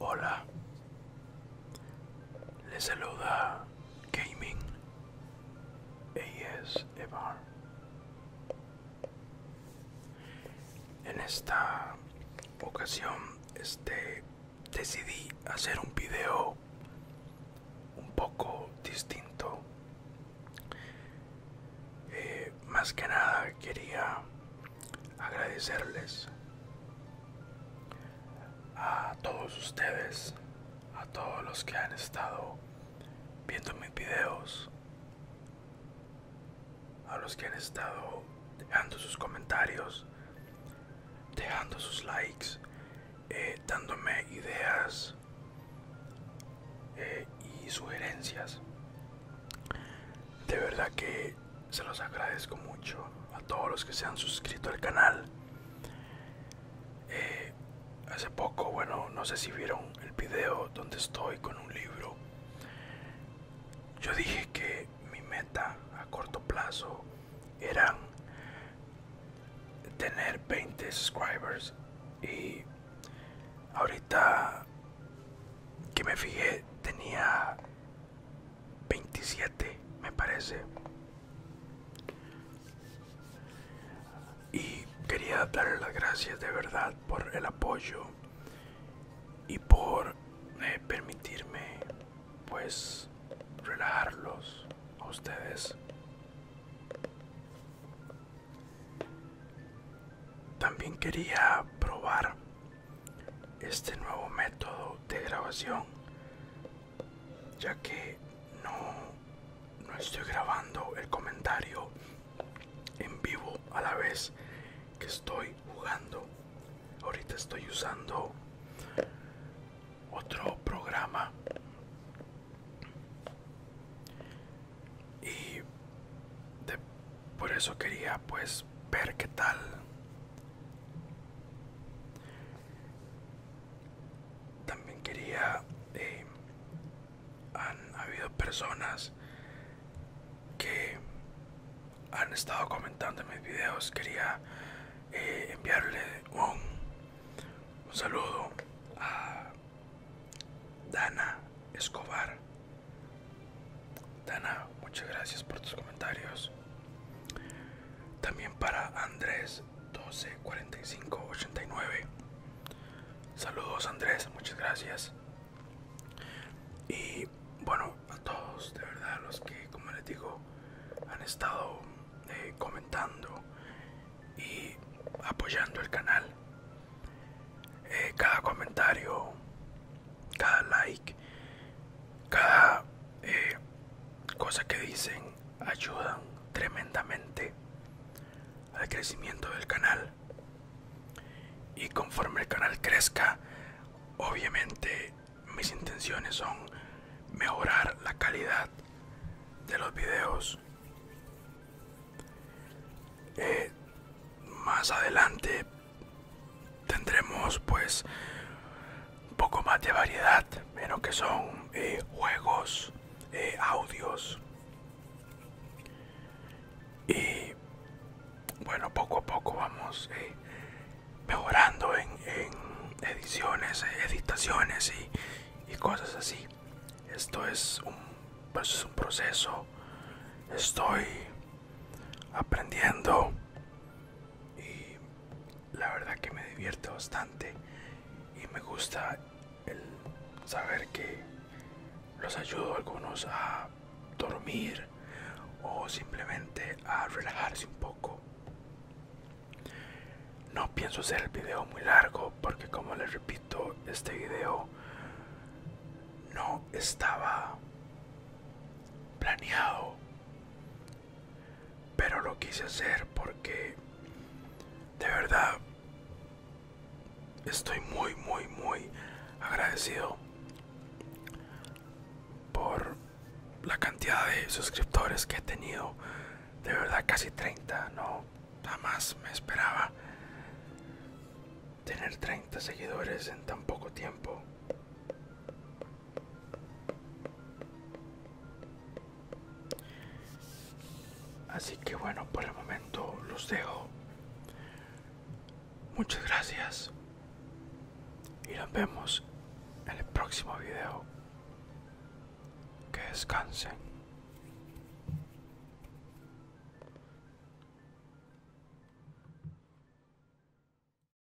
Hola, les saluda Gaming ASMR. En esta ocasión, este decidí hacer un video un poco distinto eh, más que nada quería agradecerles a todos ustedes a todos los que han estado viendo mis videos a los que han estado dejando sus comentarios dejando sus likes eh, dándome ideas eh, y sugerencias. De verdad que se los agradezco mucho a todos los que se han suscrito al canal. Eh, hace poco, bueno, no sé si vieron el video donde estoy con un libro. Yo dije que mi meta a corto plazo eran tener 20 subscribers y ahorita que me fijé tenía 27 me parece y quería darle las gracias de verdad por el apoyo y por eh, permitirme pues relajarlos a ustedes. También quería probar este nuevo método de grabación, ya que no, no estoy grabando el comentario en vivo a la vez que estoy jugando. Ahorita estoy usando otro programa. Y de, por eso quería pues ver qué tal. También quería... Eh, han habido personas que han estado comentando en mis videos quería eh, enviarle un, un saludo a Dana Escobar Dana muchas gracias por tus comentarios también para Andrés 124589 saludos Andrés muchas gracias y bueno, a todos de verdad, los que, como les digo, han estado eh, comentando y apoyando el canal. Eh, cada comentario, cada like, cada eh, cosa que dicen ayudan tremendamente al crecimiento del canal y conforme el canal crezca obviamente mis intenciones son mejorar la calidad de los videos eh, más adelante tendremos pues un poco más de variedad en lo que son eh, juegos eh, audios y bueno poco a poco vamos eh, mejorando en, ediciones eh, editaciones y, cosas así esto es un, pues, es un proceso estoy aprendiendo y la verdad que me divierte bastante y me gusta el saber que los ayudo a algunos a dormir o simplemente a relajarse un poco. No pienso hacer el video muy largo porque como les repito, este video no estaba planeado pero lo quise hacer porque de verdad estoy muy muy muy agradecido por la cantidad de suscriptores que he tenido de verdad casi 30 no jamás me esperaba tener 30 seguidores en tan poco tiempo Así que bueno, por el momento los dejo. Muchas gracias. Y nos vemos en el próximo video. Que descansen.